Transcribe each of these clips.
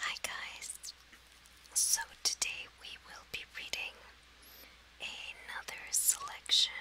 Hi guys! So today we will be reading another selection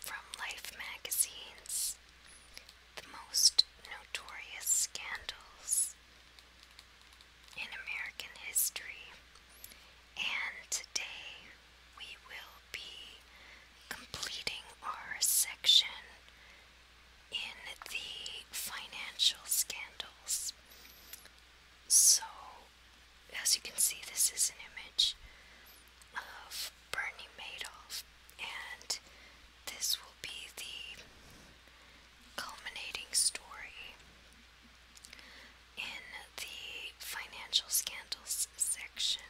from Life magazine's The Most Notorious Scandals in American History, and today we will be completing our section in the financial scandals. So, as you can see, this is an image of Bernie Madoff, and this will be the culminating story in the financial scandals section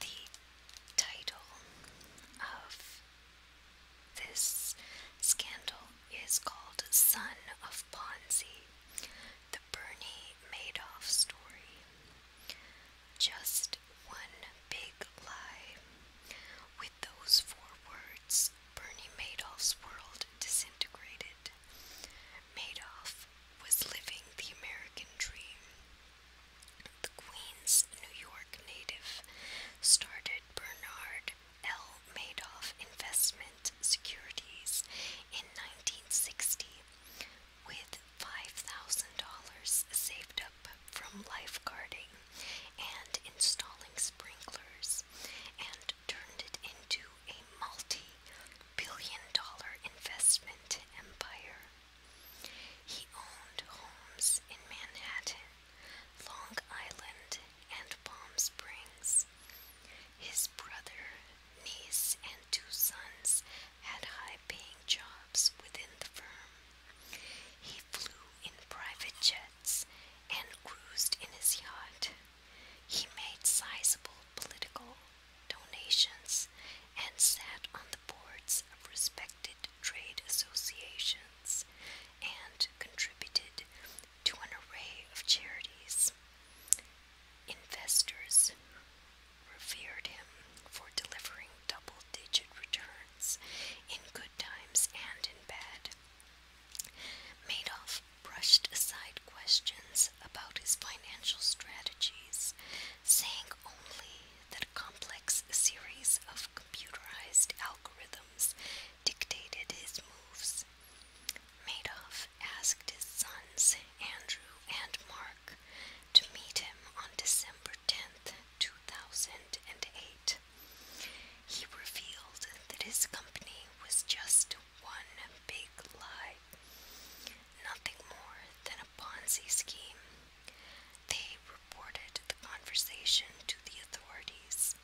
the title of this scandal is called Son of Ponzi, the Bernie Madoff story. Just one big lie. With those four words, Bernie Madoff's world disintegrated. Madoff was living the American dream. The Queens, New York native started Bernard L. Madoff Investment Securities in 1960 with $5,000 saved up from lifeguarding and installing sprinklers and turned it into a multi billion dollar investment empire. He owned homes in Manhattan, Long Island, and Palm Springs. His brother, niece, and two sons had high paying jobs within the firm. He flew in private jets and cruised in his yacht. He made sizable political donations and sat on the boards of respected trade associations and contributed to an array of charities. Investors revered him for delivering double digit returns in good times and in bad. Madoff brushed aside questions about his financial strategies, saying only that a complex series of computerized algorithms dictated his moves. Madoff asked his sons, Andrew and Mark, to meet him on December 10, 2008. He revealed that his company was just one big lie. Nothing more than a Ponzi scheme. They reported the conversation to the authorities.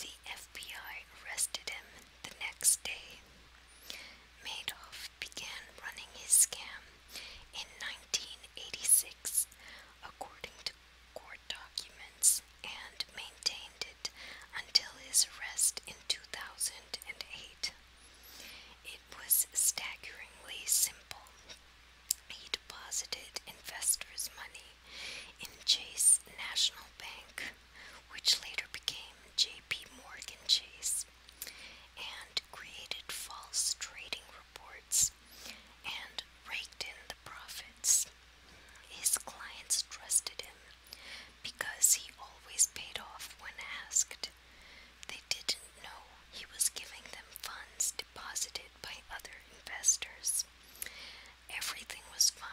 The FBI arrested him the next day. Madoff began running his scam in 1986, according to court documents, and maintained it until his arrest in 2008. It was staggeringly simple. He deposited investors' money in Chase National Bank, which later became J.P. Morgan Chase, and created false trading reports and raked in the profits. His clients trusted him because he always paid off when asked. They didn't know he was giving them funds deposited by other investors. Everything was fine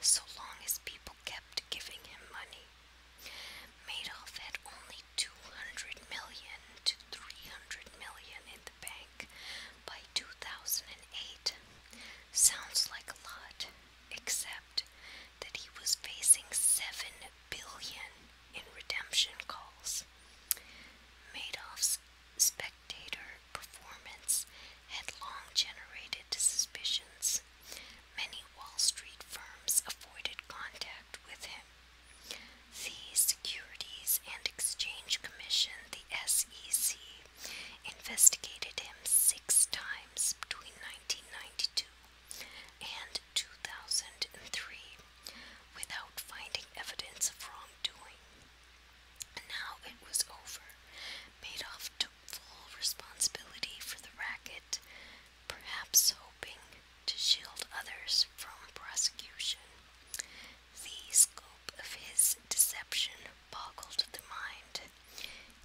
so long as people kept giving him money. Madoff had only 200 million to 300 million in the bank by 2008. Sounds like a lot, except that he was facing 7 billion in redemption calls. Madoff's spectator performance had long generated suspicions. Many Wall Street firms avoided contact with him. The Securities and Exchange Commission, the SEC, investigated him six times between 1992 and 2003 without finding evidence of wrongdoing. And now it was over. Made off took full responsibility for the racket, perhaps hoping to shield others from prosecution. The scope of his deception boggled the mind.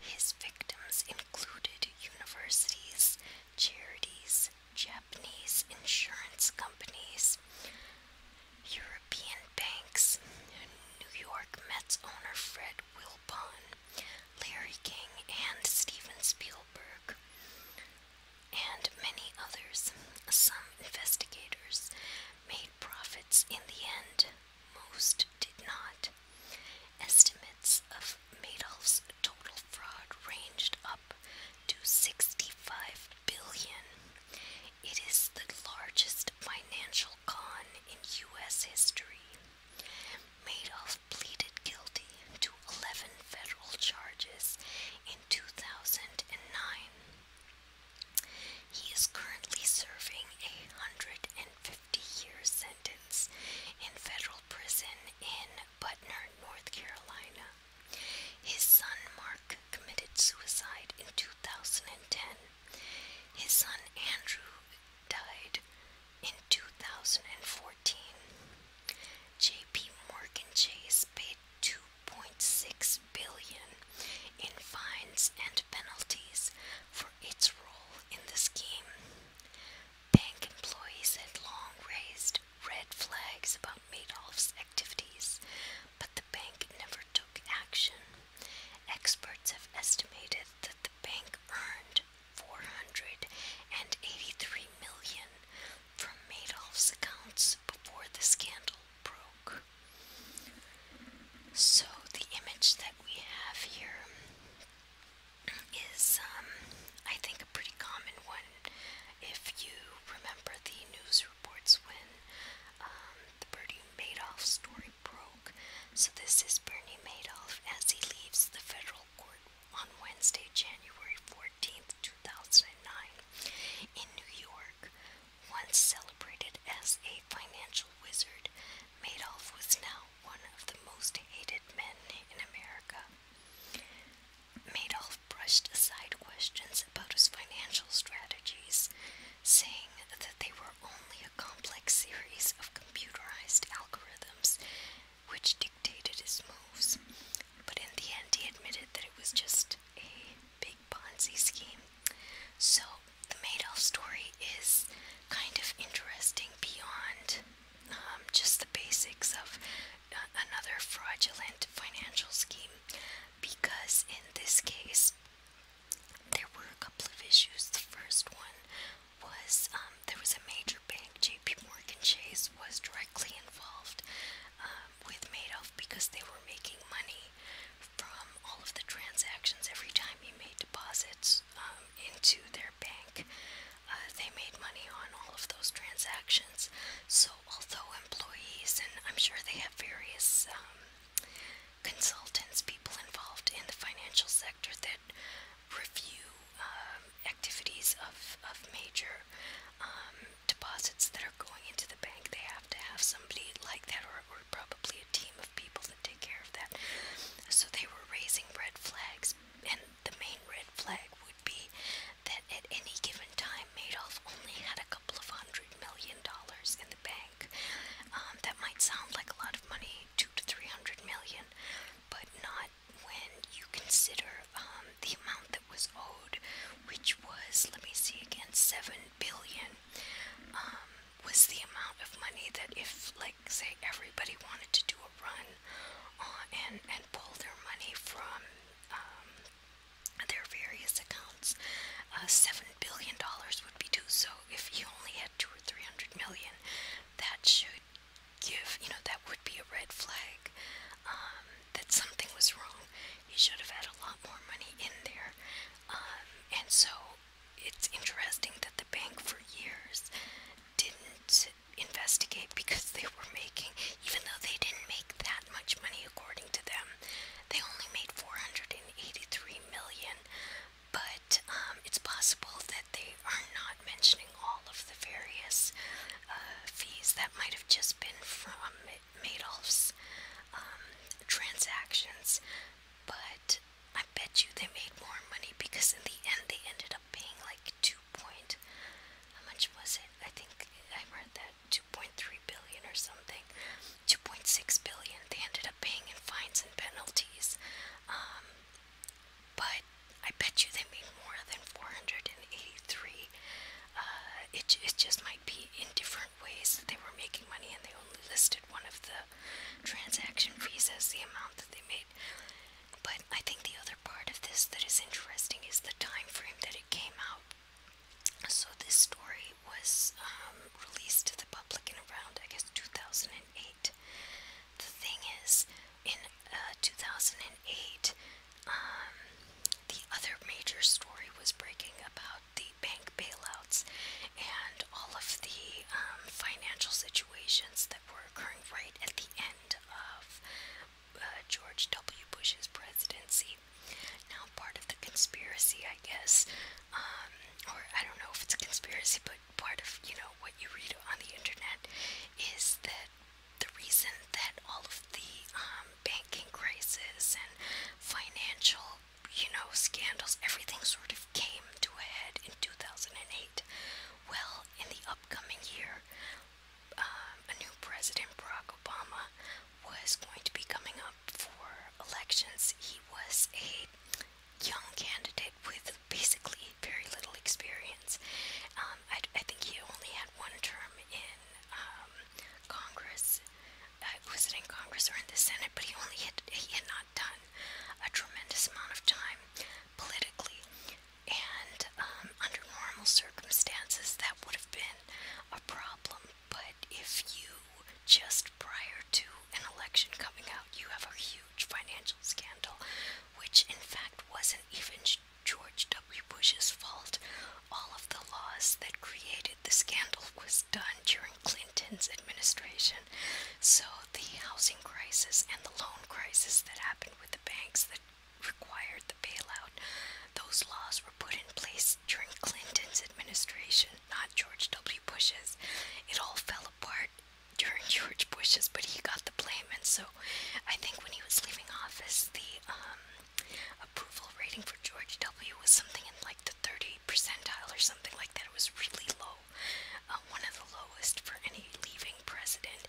His victims included universities, charities, Japanese insurance companies, European banks, New York Mets owner Fred Wilpon, Larry King, and Steven Spielberg, and many others. Some investigators made profits in the end, most did not. Estimates of Madoff's total fraud ranged up to 65 billion. It is the largest financial con in US history. Madoff pleaded guilty to 11 federal charges in 2009. He is currently serving a 150 years in federal prison in Butner, North Carolina. His son Mark committed suicide in 2010. His son Andrew died in 2014. JP Morgan Chase paid 2.6 billion in fines and penalties for its role in the scheme. Bank employees had long raised red flags about Madoff's activities, but the bank never took action. Experts have estimated that the bank earned $483 million from Madoff's accounts before the scandal broke. So, the image that we have here is, um, I think, a pretty common one. If you remember the news reports when um, the Bernie Madoff story broke, so this is Bernie Madoff as he leaves the federal court on Wednesday, January 14th, 2009, in New York. Once celebrated as a financial wizard, Madoff was now one of the most hated men in America. Madoff brushed aside questions about his financial strategies, saying that they were only a complex series of computerized algorithms which dictated his moves. But in the end, he admitted that it was just a big Ponzi scheme. So, the Madoff story is kind of interesting beyond um, just the basics of uh, another fraudulent financial scheme because in this case there were a couple of issues. The first one was um, there was a major bank, JP Morgan Chase, was directly involved um, with Madoff because they were making money from all of the transactions every time he made deposits um, into their bank uh, they made money on all of those transactions. So, although employees, and I'm sure they have various um, consultants, people involved in the financial sector that review um, activities of, of major um, deposits that are going into the bank, they have to have somebody like that, or, or probably a team of people that take care of that. So, they were raising red flags and the main red flag would be that at any given time, Madoff only had a couple of hundred million dollars in the bank. Um, that might sound like a lot of money, two to three hundred million, but not when you consider um, the amount that was owed, which was, let me see again, seven billion. Um, was the amount of money that if, like, say, everybody wanted to do will run on uh, and, and pull their money from um, their various accounts. Uh, Seven billion dollars would be due. So if you only had two or three hundred million, that should give you know that would be a red flag um, that something was wrong. He should have had a lot more money in there. Um, and so it's interesting that the bank for years didn't investigate because they were making, even though they didn't make that much money according to them, they only made 483 million. But um, it's possible that they are not mentioning all of the various uh, fees that might have just been from Madoff's um, transactions, but I bet you they made more money because in the end they ended up paying like two point. How much was it? I think I read that two point three billion or something. Two point six billion. They ended up paying in fines and penalties. Um, but I bet you they made more than four hundred and eighty-three. Uh, it it just might be in different ways that they were making money, and they only listed one of the transaction fees as the amount that they made. But I think the other part of this that is interesting is the time frame that it came out. So this story was um, released to the public in around, I guess, 2008. The thing is, in uh, 2008, um, the other major story was breaking about the bank bailouts and all of the um, financial situations that were occurring right at the end of uh, George W. Bush's presidency. Now, part of the conspiracy, I guess, um, or I don't know if it's a conspiracy, but part of you know what you read on the internet is that the reason that all of the um, banking crisis and financial, you know, scandals, everything sort of came to a head in 2008 well, in the upcoming year, um, a new president, Barack Obama, was going to be coming up for elections. He was a young candidate with basically very little experience. Um, I, I think he only had one term in um, Congress. Uh, was it in Congress or in the Senate? But he only had he had not not a tremendous amount of time politically, and um, under normal circumstances, that would have been a problem. But if you just prior to an election coming out, you have a huge financial scandal, which in fact wasn't even George W. Bush's fault. All of the laws that created the scandal was done during Clinton's administration. So the housing crisis and the loan crisis that happened with the banks that required the bailout, those laws were put in place during Clinton's administration, not George W. Bush's. It all fell apart during George Bush's, but he got the blame, and so I think when he was leaving office, the um, approval rating for George W. was something in like the 30 percentile or something like that. It was really low low, uh, one of the lowest for any leaving president.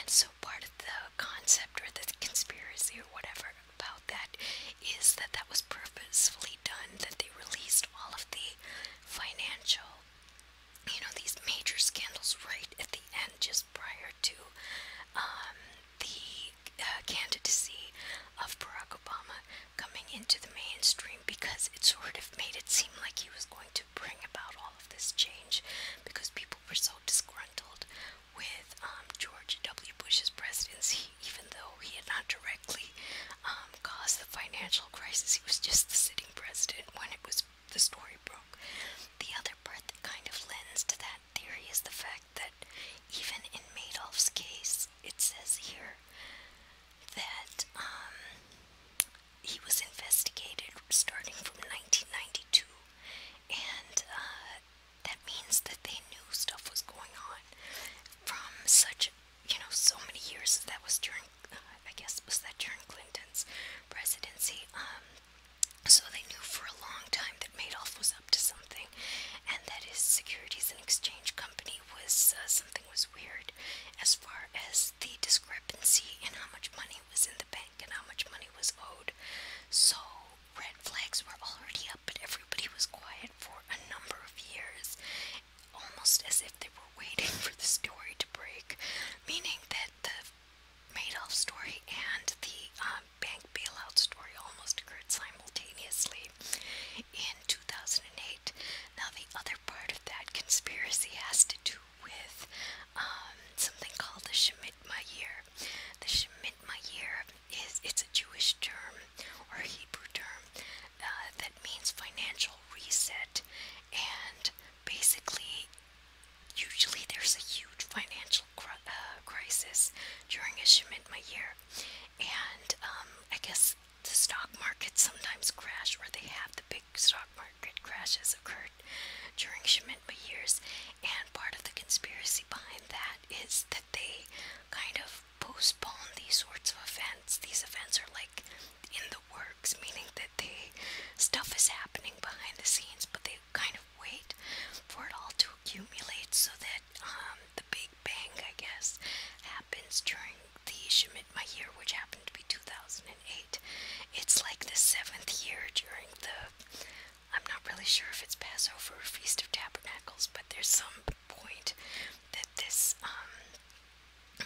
And so part of the concept or the conspiracy or whatever about that is that that was purposefully done, that they released all of the financial, you know, these major scandals right at the end, just prior to um, the uh, candidacy of Barack Obama coming into the mainstream because it sort of made it seem like he was going to bring about all of this change because people were so disgruntled with um, George W. Bush's presidency, even though he had not directly um, caused the financial crisis. He was just the sitting president when it was the story broke. The other part that kind of lends to that theory is the fact that even in Madoff's case, it says here that um, he was investigated starting from 1992, and uh, that means that they knew stuff was going on from such, you know, so many years. That was during, uh, I guess, was that during Clinton's presidency? Um, so they knew for a long time that Madoff was up to something, and that his Securities and Exchange Company me was uh, something was weird as far as the discrepancy in how much money was in the bank and how much money was owed. So red flags were already up, but everybody was quiet for a number of years, almost as if they were waiting for the story to break, meaning that the Madoff story and the um, bank bailout story almost occurred simultaneously in 2008. Now, the other part of that conspiracy has to do with um, something called the Shemitah year. The Shemitah year is it's a Jewish term or Hebrew term uh, that means financial reset, and basically, usually there's a huge financial uh, crisis during a Shemitah year, and um, I guess the stock markets sometimes crash, or they have the big stock market crashes occurred during shemitah years, and part of the conspiracy behind that is that they kind of postpone these sorts of events. These events are like in the works, meaning that they stuff is happening behind the scenes, but they kind of wait for it all to accumulate so that um, the Big Bang, I guess, happens during the shemitah my year, which happened to be 2008, it's like the seventh year during the. I'm not really sure if it's Passover or Feast of Tabernacles, but there's some point that this um,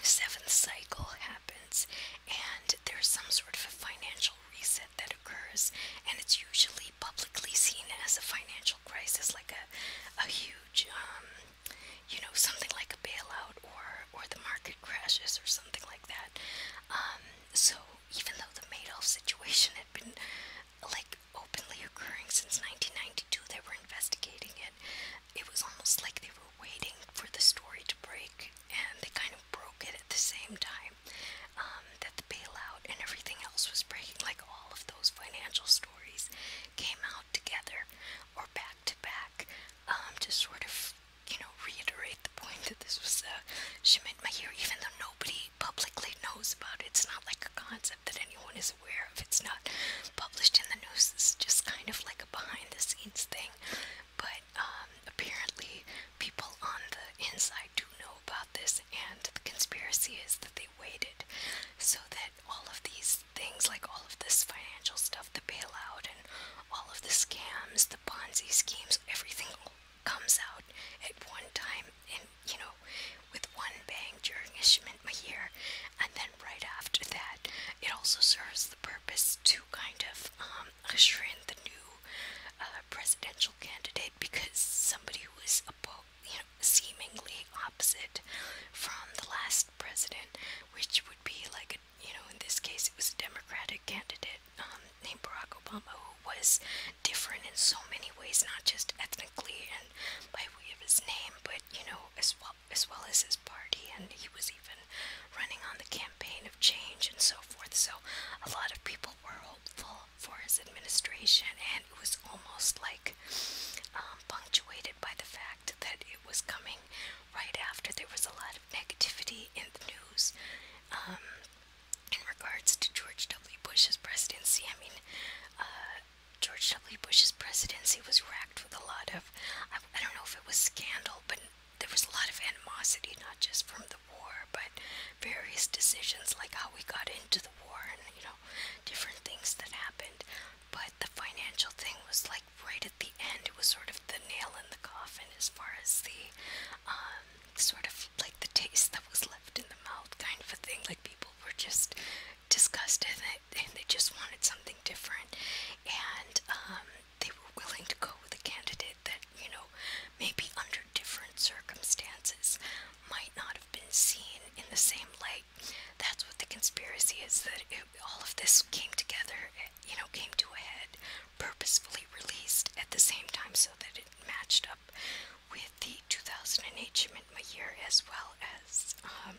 seventh cycle happens, and there's some sort of a financial reset that occurs, and it's usually publicly seen as a financial crisis, like a, a huge um, you know, something like a bailout or or the market crashes or something like that. Um, so even though the Madoff situation had been like openly occurring since 1992, they were investigating it. It was almost like they were waiting for the story to break, and they kind of broke it at the same time um, that the bailout and everything else was breaking. Like all of those financial stories came out together or back to back um, to sort of, you know, reiterate the point that this was a my Mahir, even though nobody publicly knows about it. It's not like a concept that anyone is aware of. It's not published in the news. It's just kind of like a behind the scenes thing. But um, apparently, people on the inside do know about this, and the conspiracy is that they waited so that all of these these things like all of this financial stuff, the bailout, and all of the scams, the Ponzi schemes, everything comes out at one time, and you know, with one bang during Ishman Mahir, and then right after that, it also serves the purpose to kind of um, usher in the new uh, presidential candidate because somebody who is a you know, seemingly opposite from the last the president, which would be like, a, you know, in this case, it was a Democratic candidate um, named Barack Obama, who was different in so many ways, not just ethnically and by way of his name, but, you know, as well as, well as his party. And he was even running on the campaign of change and so forth. So a lot of people were hopeful for his administration, and it was almost like um, punctuated by the fact that it was coming thing right after there was a lot of negativity in the news um, in regards to George W. Bush's presidency. I mean, uh, George W. Bush's presidency was racked with a lot of, I, I don't know if it was scandal, but there was a lot of animosity, not just from the war, but various decisions like how we got into the war and, you know, different things that happened. But the financial thing was like, like right at the end, it was sort of the nail in the coffin as far as the um, sort of like the taste that was left in the mouth kind of a thing. Like people were just disgusted and they just wanted something different, and um, they were willing to go with a candidate that you know maybe under different circumstances might not have been seen in the same light that's what the conspiracy is that all of this came together, you know, came to a head, purposefully released at the same time so that it matched up with the 2008 Shemintma year as well as um,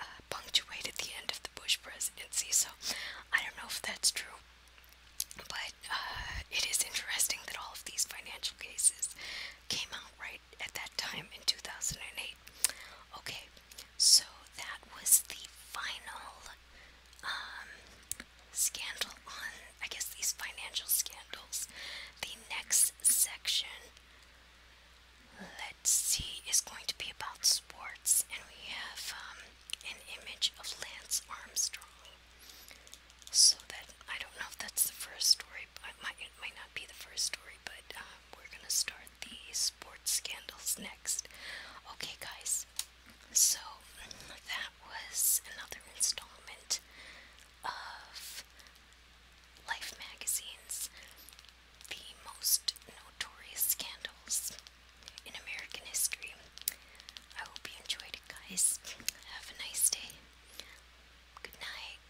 uh, punctuated the end of the Bush presidency. So I don't know if that's true, but uh, it is interesting that all of these financial cases came out right at that time in 2008 Okay, so that was the final um, scandal on, I guess, these financial scandals. The next section, let's see, is going to be about sports, and we have um, an image of Lance Armstrong. So that I don't know if that's the first story, but might, might not be the first story, but uh, we're gonna start the sports scandals next. Okay, guys, so that was another installment of Life Magazine's The Most Notorious Scandals in American History. I hope you enjoyed it, guys. Have a nice day. Good night.